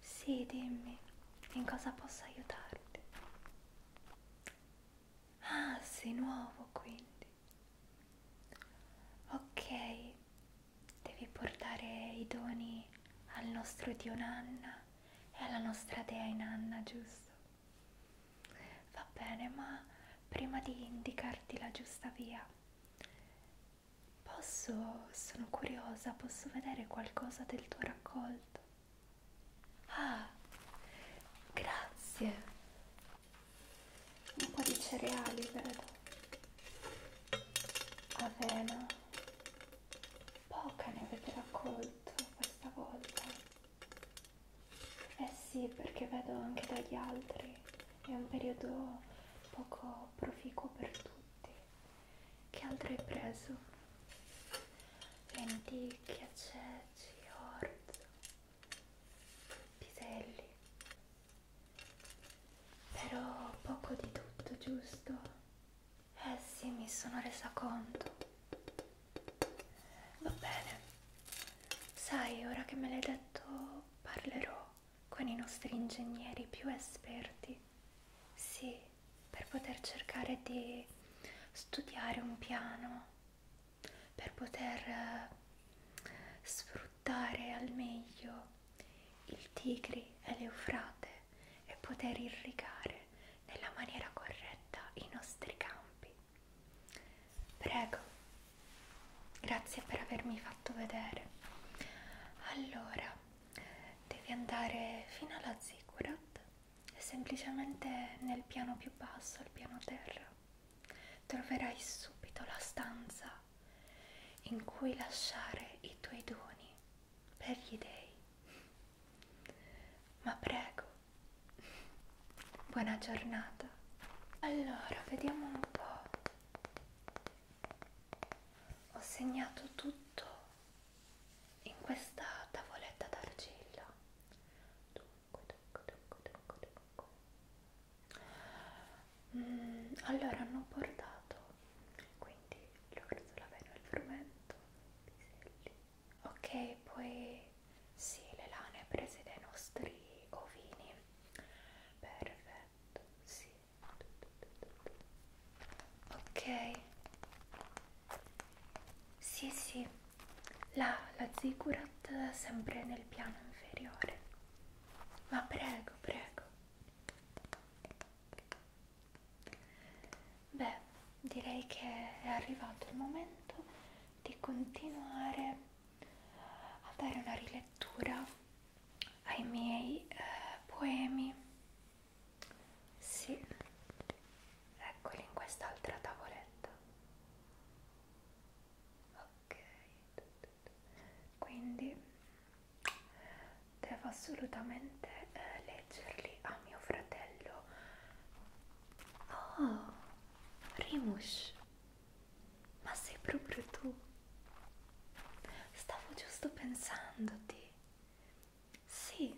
Sì, dimmi, in cosa posso aiutarti? Ah, sei nuovo quindi. Ok, devi portare i doni al nostro dio Nanna e alla nostra dea Inanna, giusto? Va bene, ma prima di indicarti la giusta via, posso, sono curiosa, posso vedere qualcosa del tuo raccolto? Ah, grazie. Un po' di cereali, vedo. Avena. Poca ne avete raccolto questa volta. Eh sì, perché vedo anche dagli altri, è un periodo poco proficuo per tutti. Che altro hai preso? Lenticchie, ceci, orzo, piselli. Però poco di tutto, giusto? Eh sì, mi sono resa conto. Va bene. Sai, ora che me l'hai detto, parlerò con i nostri ingegneri più esperti. Sì, per poter cercare di studiare un piano, per poter eh, sfruttare al meglio il Tigri e l'Eufrate e poter irrigare nella maniera corretta i nostri campi Prego, grazie per avermi fatto vedere. Allora, devi andare fino alla Ziggurat, semplicemente nel piano più basso, al piano terra. Troverai subito la stanza in cui lasciare i tuoi doni per gli dei. Ma prego, Buona giornata. Allora, vediamo un po'. Ho segnato tutto in questa tavoletta d'argilla. Dunque, dunque, dunque, dunque, dunque. Mm, allora, hanno portato quindi l'orzo, la vena, il frumento, i piselli. Ok, poi sì, le lane prese dai nostri ovini. Perfetto, sì. Ok. Sì, sì. La, la ziggurat sempre nel piano inferiore. Ma prego, prego. Beh, direi che è arrivato il momento di continuare a dare una rilettura ai miei eh, poemi. Sì, eccoli in quest'altra tavoletta. Ok, quindi devo assolutamente eh, leggerli a mio fratello. Oh, Rimush. Ma sei proprio tu. Stavo giusto pensandoti. Sì,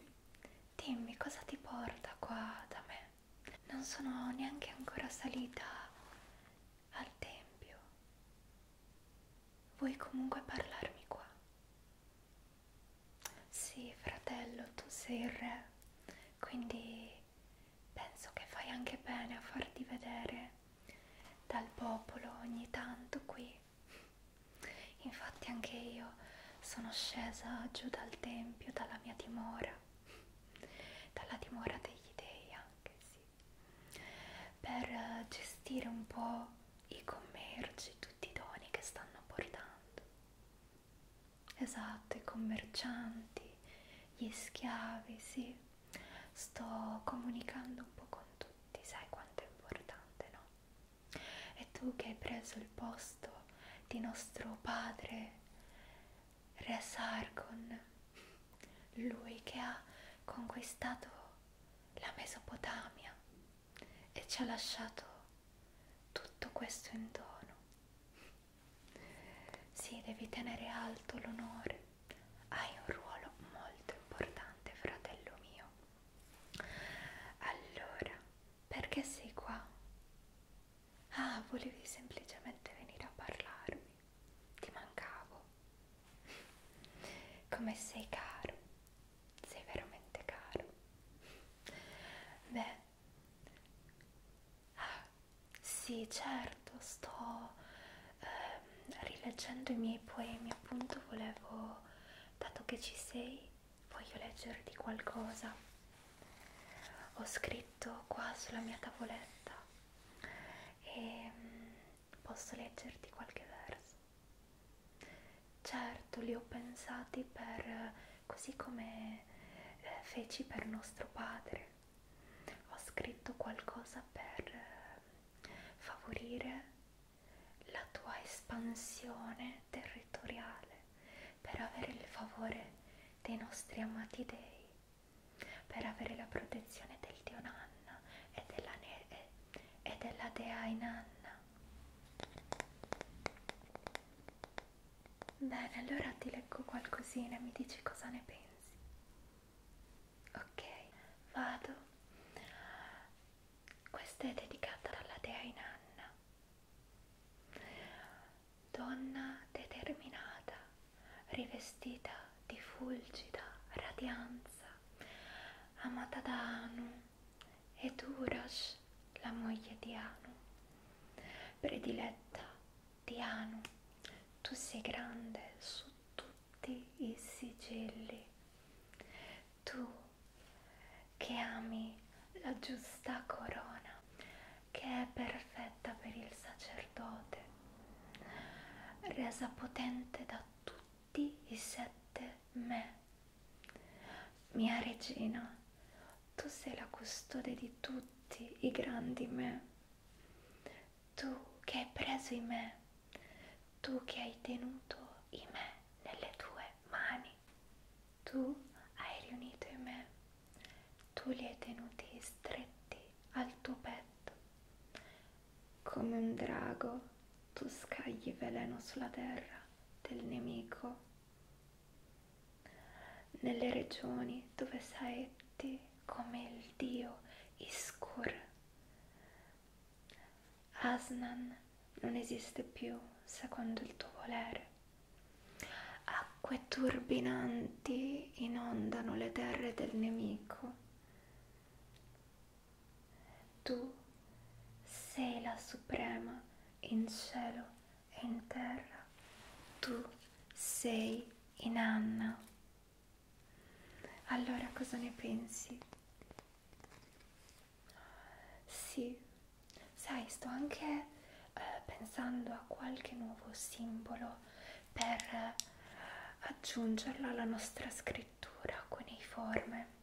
dimmi cosa ti porta qua da me. Non sono neanche ancora salita al tempio. Vuoi comunque parlarmi qua? Sì, fratello, tu sei il re, quindi penso che fai anche bene a farti vedere dal popolo ogni tanto qui. Infatti anche io sono scesa giù dal tempio, dalla mia dimora, dalla dimora degli dei anche sì, per eh, gestire un po' i commerci, tutti i doni che stanno portando. Esatto, i commercianti, gli schiavi, sì. Sto comunicando un po' con tutti, sai quanto è importante, no? E tu che hai preso il posto di nostro padre, Re Sargon, lui che ha conquistato la Mesopotamia e ci ha lasciato tutto questo in dono. Sì, devi tenere alto l'onore. Hai un ruolo molto importante, fratello mio. Allora, perché sei qua? Ah, volevi semplicemente venire a parlarmi. Ti mancavo. Come sei caro. Sei veramente caro. Beh, Ah, sì, certo, sto ehm, rileggendo i miei poemi, appunto volevo, dato che ci sei, voglio leggerti qualcosa. Ho scritto qua sulla mia tavoletta e ehm, posso leggerti qualche verso. Certo, li ho pensati per così come eh, feci per nostro padre ho scritto qualcosa per eh, favorire la tua espansione territoriale, per avere il favore dei nostri amati dei, per avere la protezione del Dio Nanna e della, ne e della Dea Inanna. Bene, allora ti leggo qualcosina e mi dici cosa ne pensi. Ok, vado. Questa è dedicata alla dea Inanna. Donna determinata, rivestita di fulgida radianza, amata da Anu e Durosh, la moglie di Anu, prediletta Diano, tu sei grande su tutti i sigilli, tu che ami la giusta corona, che è perfetta per il sacerdote, resa potente da tutti i sette me. Mia regina, tu sei la custode di tutti i grandi me tu che hai preso in me, tu che hai tenuto in me nelle tue mani, tu hai riunito in me, tu li hai tenuti stretti al tuo petto, come un drago tu scagli veleno sulla terra del nemico nelle regioni dove saetti come il dio Iskur. Asnan non esiste più secondo il tuo volere. Acque turbinanti inondano le terre del nemico. Tu sei la suprema in cielo e in terra. Tu sei in Anna. Allora cosa ne pensi? Sì, sai, sto anche eh, pensando a qualche nuovo simbolo per eh, aggiungerlo alla nostra scrittura con i forme.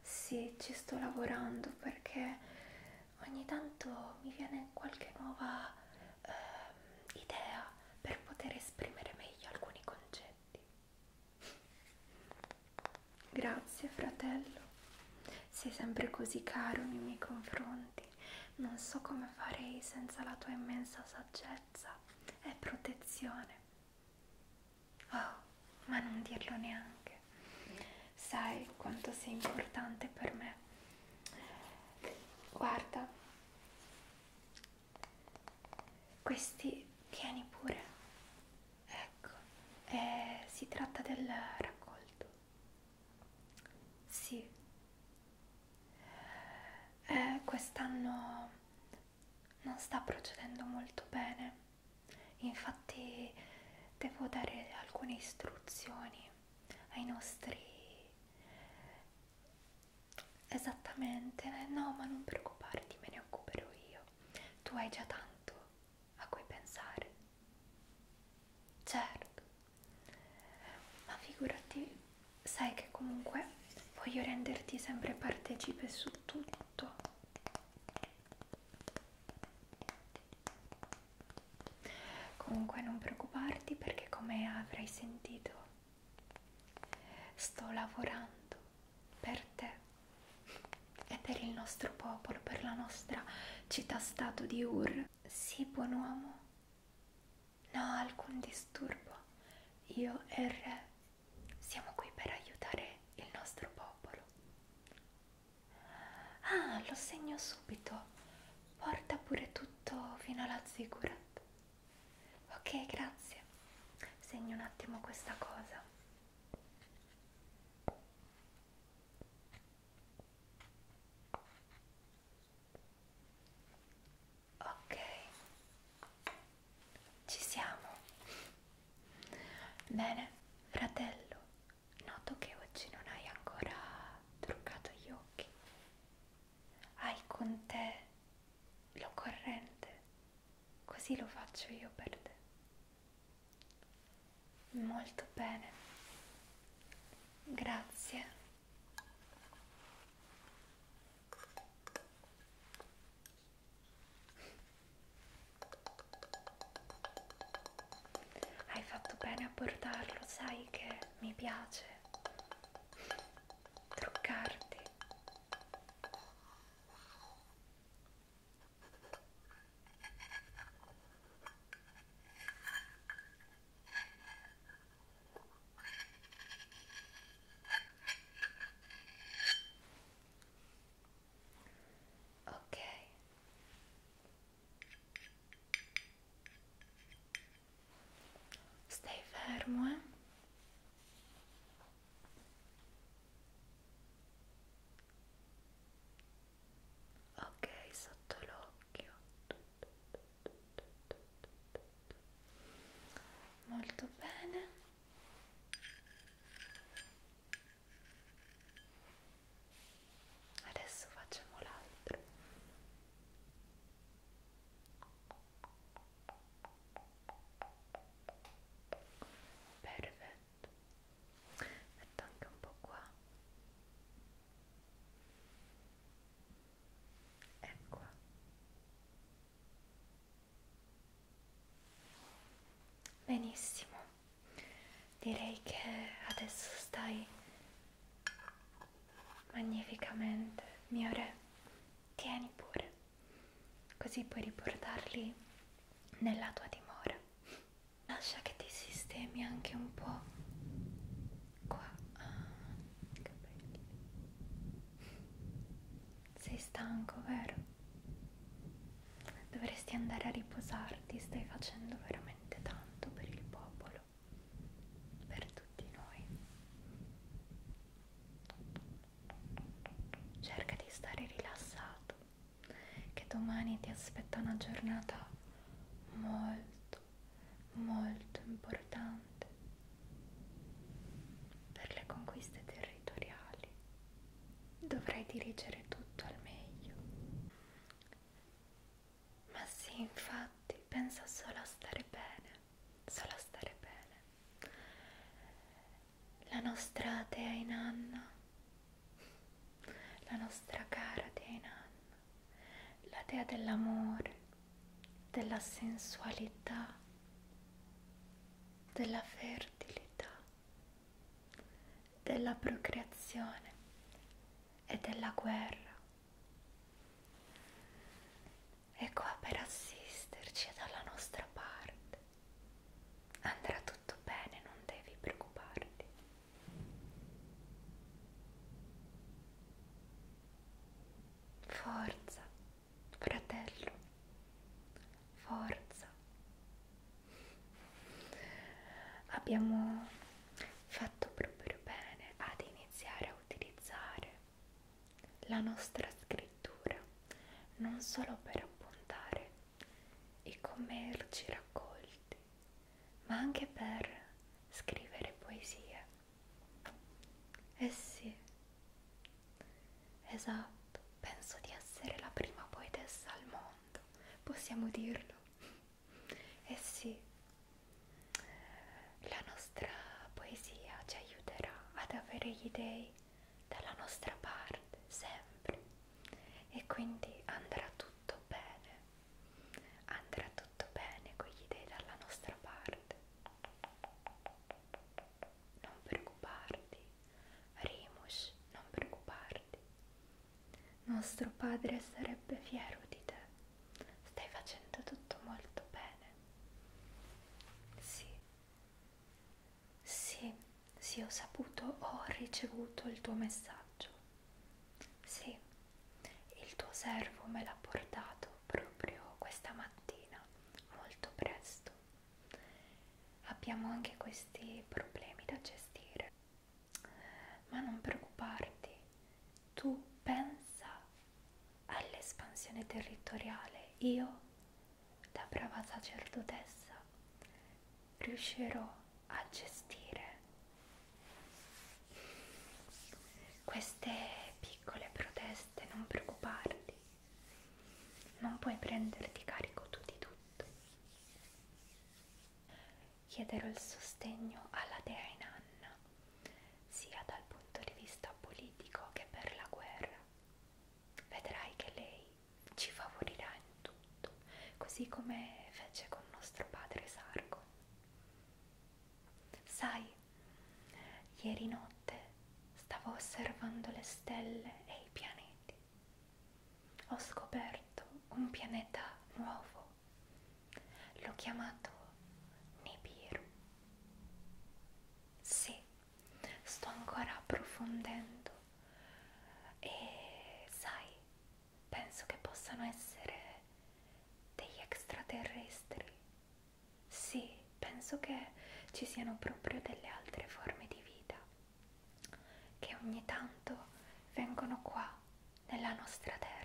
Sì, ci sto lavorando perché ogni tanto mi viene qualche nuova eh, idea per poter esprimere meglio alcuni concetti. Grazie fratello, sei sempre così caro nei miei confronti, non so come farei senza la tua immensa saggezza e protezione. Oh, ma non dirlo neanche. Sai quanto sei importante per me Guarda, questi tieni pure. Ecco, eh, si tratta del raccolto. Sì, eh, quest'anno non sta procedendo molto bene. Infatti devo dare alcune istruzioni ai nostri esattamente eh, no ma non preoccuparti me ne occuperò io tu hai già tanto a cui pensare certo ma figurati sai che comunque voglio renderti sempre partecipe su tutto Comunque non preoccuparti perché come avrai sentito sto lavorando per te e per il nostro popolo, per la nostra città-stato di Ur. Sii buon uomo, no alcun disturbo, io e il re siamo qui per aiutare il nostro popolo. Ah, lo segno subito porta pure tutto fino alla ziggurat. Ok, grazie. Segno un attimo questa cosa. Ok, ci siamo. Bene, fratello, noto che oggi non hai ancora truccato gli occhi hai con te l'occorrente, così lo faccio io per te. Molto bene, grazie. Hai fatto bene a portarlo, sai che mi piace truccarti ok Stai fermo, eh? Ok, sotto l'occhio. Molto bene. Adesso facciamo l'altro perfetto metto anche un po' qua e ecco. qua benissimo direi che adesso stai magnificamente, mio re, tieni pure, così puoi riportarli nella tua dimora. Lascia che ti sistemi anche un po' qua. Ah, che belli. Sei stanco, vero? Dovresti andare a riposarti, stai facendo veramente tanto per il popolo per tutti noi. Cerca di stare rilassato, che domani ti aspetta una giornata molto, molto importante per le conquiste territoriali. Dovrai dirigere tutto al meglio. Ma sì, infatti, pensa solo a stare bene, solo a stare bene. La nostra dea Nanna, la nostra cara dea Nanna, la dea dell'amore, della sensualità, della fertilità, della procreazione e della guerra è qua per assisterci e dalla nostra parte. Andrà tutto bene, non devi preoccuparti. Forza, fratello, forza. Abbiamo fatto proprio bene ad iniziare iniziare a utilizzare la nostra scrittura non solo per appuntare i commerci raccolti, ma anche per scrivere poesie. Eh sì, esatto, penso di essere la prima poetessa al mondo, possiamo dirlo. Eh sì, la nostra poesia ci aiuterà ad avere gli dei dalla nostra parte sempre e quindi andrà tutto bene, andrà tutto bene con gli dei dalla nostra parte. Non preoccuparti, Rimush, non preoccuparti. Nostro padre sarebbe fiero di te. Stai facendo tutto molto bene. Sì. Sì, sì, ho saputo, ho ricevuto il tuo messaggio. Sì, il tuo servo me l'ha portato proprio questa mattina, molto presto. Abbiamo anche questi problemi da gestire. Ma non preoccuparti, tu pensa all'espansione territoriale, io da brava sacerdotessa riuscirò a gestire queste piccole proteste, non preoccuparti, non puoi prenderti carico tu di tutto. Chiederò il sostegno alla dea Inanna sia dal punto di vista politico che per la guerra. Vedrai che lei ci favorirà in tutto, così come fece con nostro padre Sargon. Sai, ieri notte stavo osservando le stelle e i pianeti. Ho scoperto un pianeta nuovo L'ho chiamato Nibiru. Sì, sto ancora approfondendo e sai, penso che possano essere degli extraterrestri. Sì, penso che ci siano proprio delle altre forme di vita che ogni tanto vengono qua nella nostra terra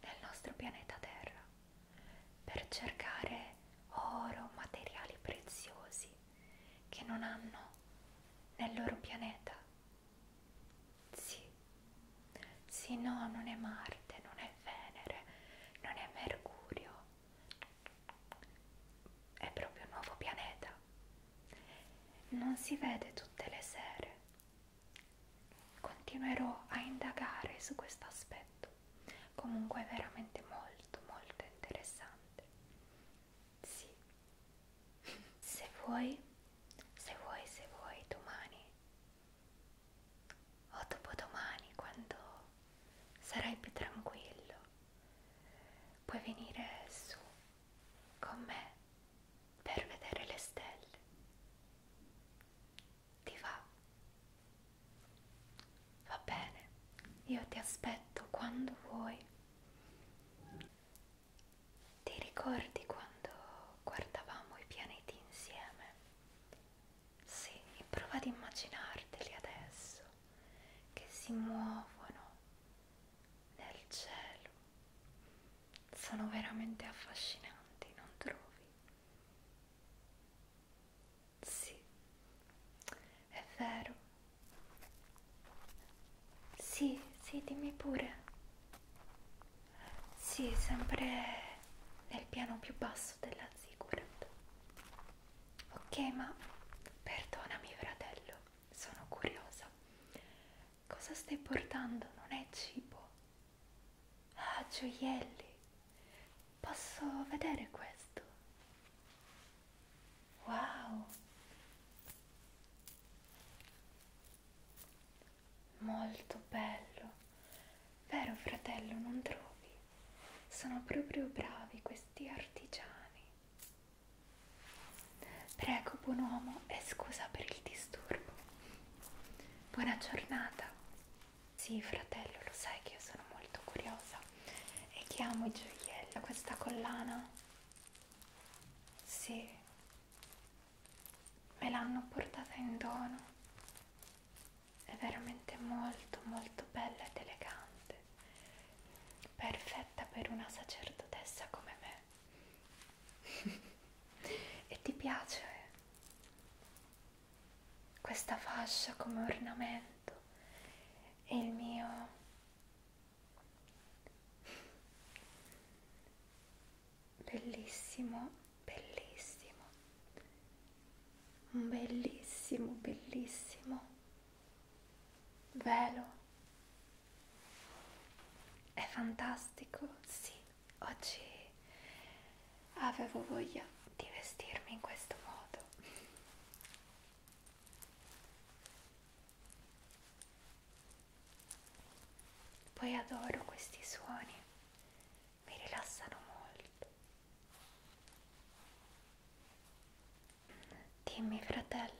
nel nostro pianeta Terra per cercare oro, materiali preziosi che non hanno nel loro pianeta. Sì, sì, no, non è Marte, non è Venere, non è Mercurio, è proprio un nuovo pianeta. Non si vede tutte le sere, Continuerò a indagare su questo aspetto, comunque è veramente molto molto interessante. Sì, se vuoi, se vuoi, se vuoi, domani o dopodomani, quando sarai più tranquillo, puoi venire su con me per vedere le stelle ti va? Va bene, io ti aspetto quando vuoi. Ti ricordi quando guardavamo i pianeti insieme? Sì, prova ad immaginarteli adesso, che si muovono nel cielo. Sono veramente affascinanti, non trovi? Sì, è vero. Sì, sì, dimmi pure. Sì, sempre nel piano più basso della Ziggurat. Ok, ma perdonami fratello, sono curiosa. Cosa stai portando? Non è cibo. Ah, gioielli! Posso vedere questo? Wow! Molto bello! Vero fratello, non trovi? Sono proprio bravi questi artigiani. Prego, buon uomo, e scusa per il disturbo. Buona giornata. Sì, fratello, lo sai che io sono molto curiosa e che amo i gioielli. Questa collana? Sì, me l'hanno portata in dono. È veramente molto, molto bella ed elegante. Perfetta per una sacerdotessa come me. e ti piace? questa fascia come ornamento e il mio bellissimo, bellissimo, un bellissimo, bellissimo velo. È fantastico, sì oggi avevo voglia di vestirmi in questo modo poi adoro questi suoni mi rilassano molto dimmi fratello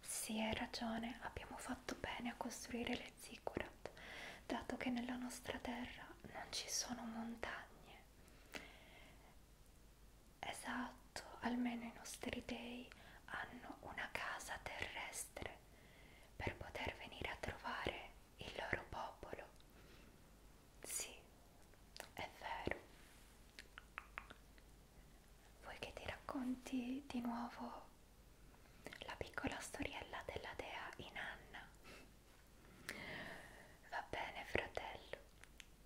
sì, hai ragione, abbiamo fatto bene a costruire le zigane. Ligurat, dato che nella nostra terra non ci sono montagne. Esatto, almeno i nostri dei hanno una casa terrestre per poter venire a trovare il loro popolo. Sì, è vero. Vuoi che ti racconti di nuovo la piccola storiella della dea Inanna. Va bene, fratello,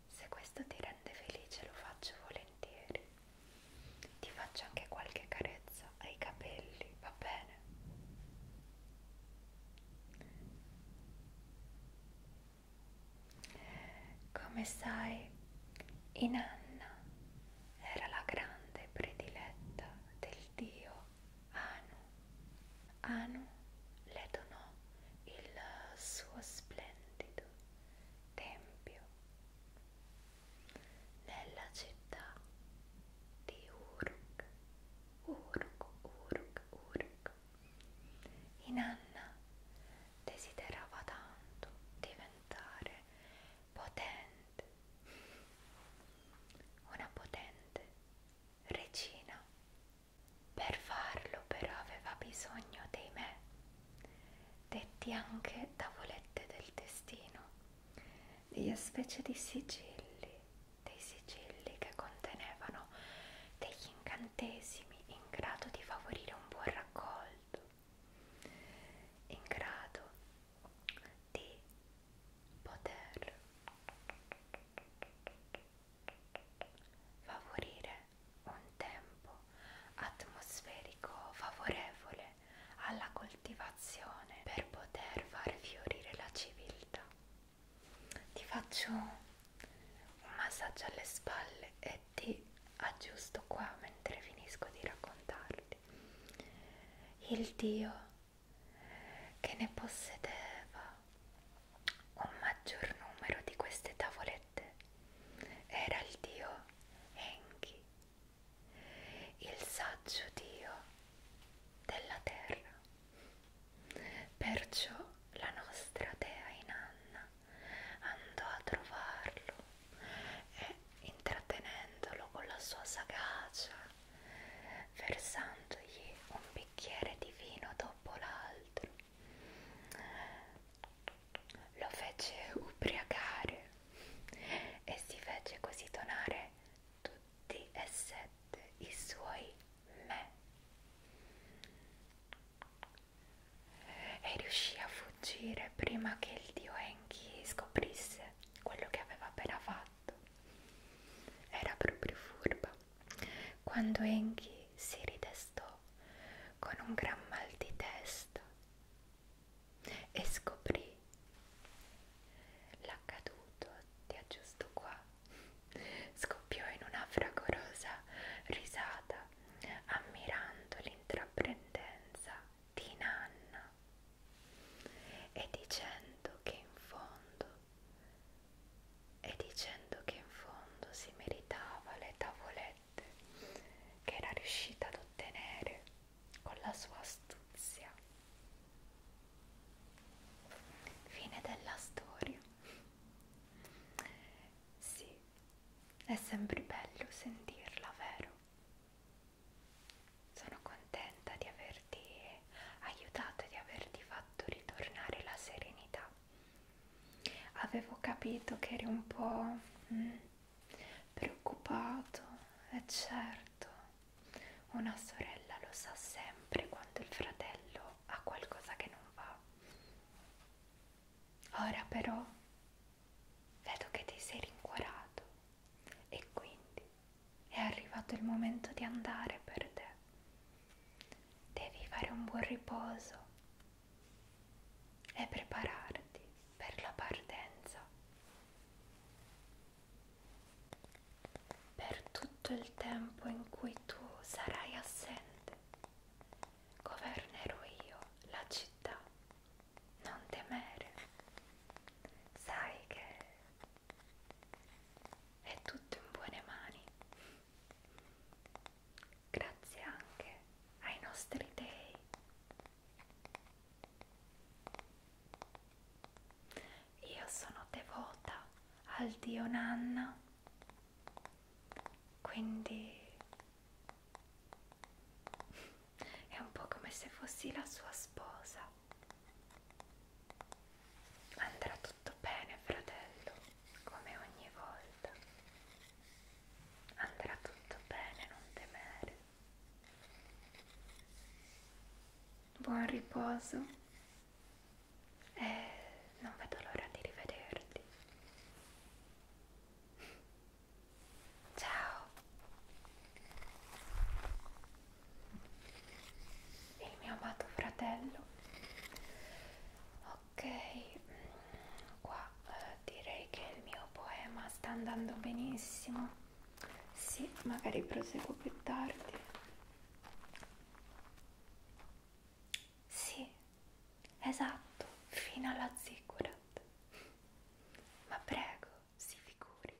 se questo ti rende felice lo faccio volentieri. Ti faccio anche qualche carezza ai capelli, va bene? Come sai, Inanna era la grande prediletta del dio Anu. Anu le donò il suo splendido tempio nella città di Uruk. Uruk, Uruk, Uruk. Inanna desiderava tanto diventare potente, una potente regina. Per farlo però aveva bisogno dei me, detti anche tavolette del destino, delle specie di sigilli, dei sigilli che contenevano degli incantesimi in grado di favorire un buon raccolto, in grado di poter favorire un tempo atmosferico favorevole alla coltivazione per poter far fiorire la civiltà. Ti faccio un massaggio alle spalle e ti aggiusto qua mentre finisco di raccontarti. Il Dio che ne possedeva un maggior numero di queste tavolette era il dio Enki, il saggio dio della terra. Perciò la nostra dea Inanna andò a trovarlo e, intrattenendolo con la sua sagacia versandogli un bicchiere di vino dopo l'altro. Lo fece ubriacare e si fece così donare tutti e sette i suoi me. E riuscì a fuggire prima che il dio Enki scoprisse quello che aveva appena fatto fatto. Era proprio furba. Quando Enki si ridestò con un gran mal di testa e scoprì l'accaduto, ti aggiusto qua, scoppiò in una fragorosa risata ammirando l'intraprendenza di Nanna e dicendo che in fondo e dicendo che in fondo si meritava le tavolette che era riuscita ad ottenere con la sua astuzia. Fine della storia. Sì, è sempre bello sentirla, vero? Sono contenta di averti aiutato e di averti fatto ritornare la serenità. Avevo capito che eri un po' mh, mm, preoccupato, è certo. Una sorella lo sa sempre quando il fratello ha qualcosa che non va. Ora però vedo che ti sei rincuorato e quindi è arrivato il momento di andare per te. Devi fare un buon riposo e prepararti per la partenza. Per tutto il tempo in cui tu sarai assente, governerò io la città. Non temere. Sai che è tutto in buone mani. Grazie anche ai nostri dei. Io sono devota al Dio Nanna, quindi è un po' come se fossi la sua sposa. Andrà tutto bene, fratello, come ogni volta. Andrà tutto bene, non temere. Buon riposo e non vedo l'ora di rivederti. Ciao il mio amato fratello ok qua eh, direi che il mio poema sta andando benissimo sì magari proseguo più tardi sì esatto fino alla ziggurat ma prego si figuri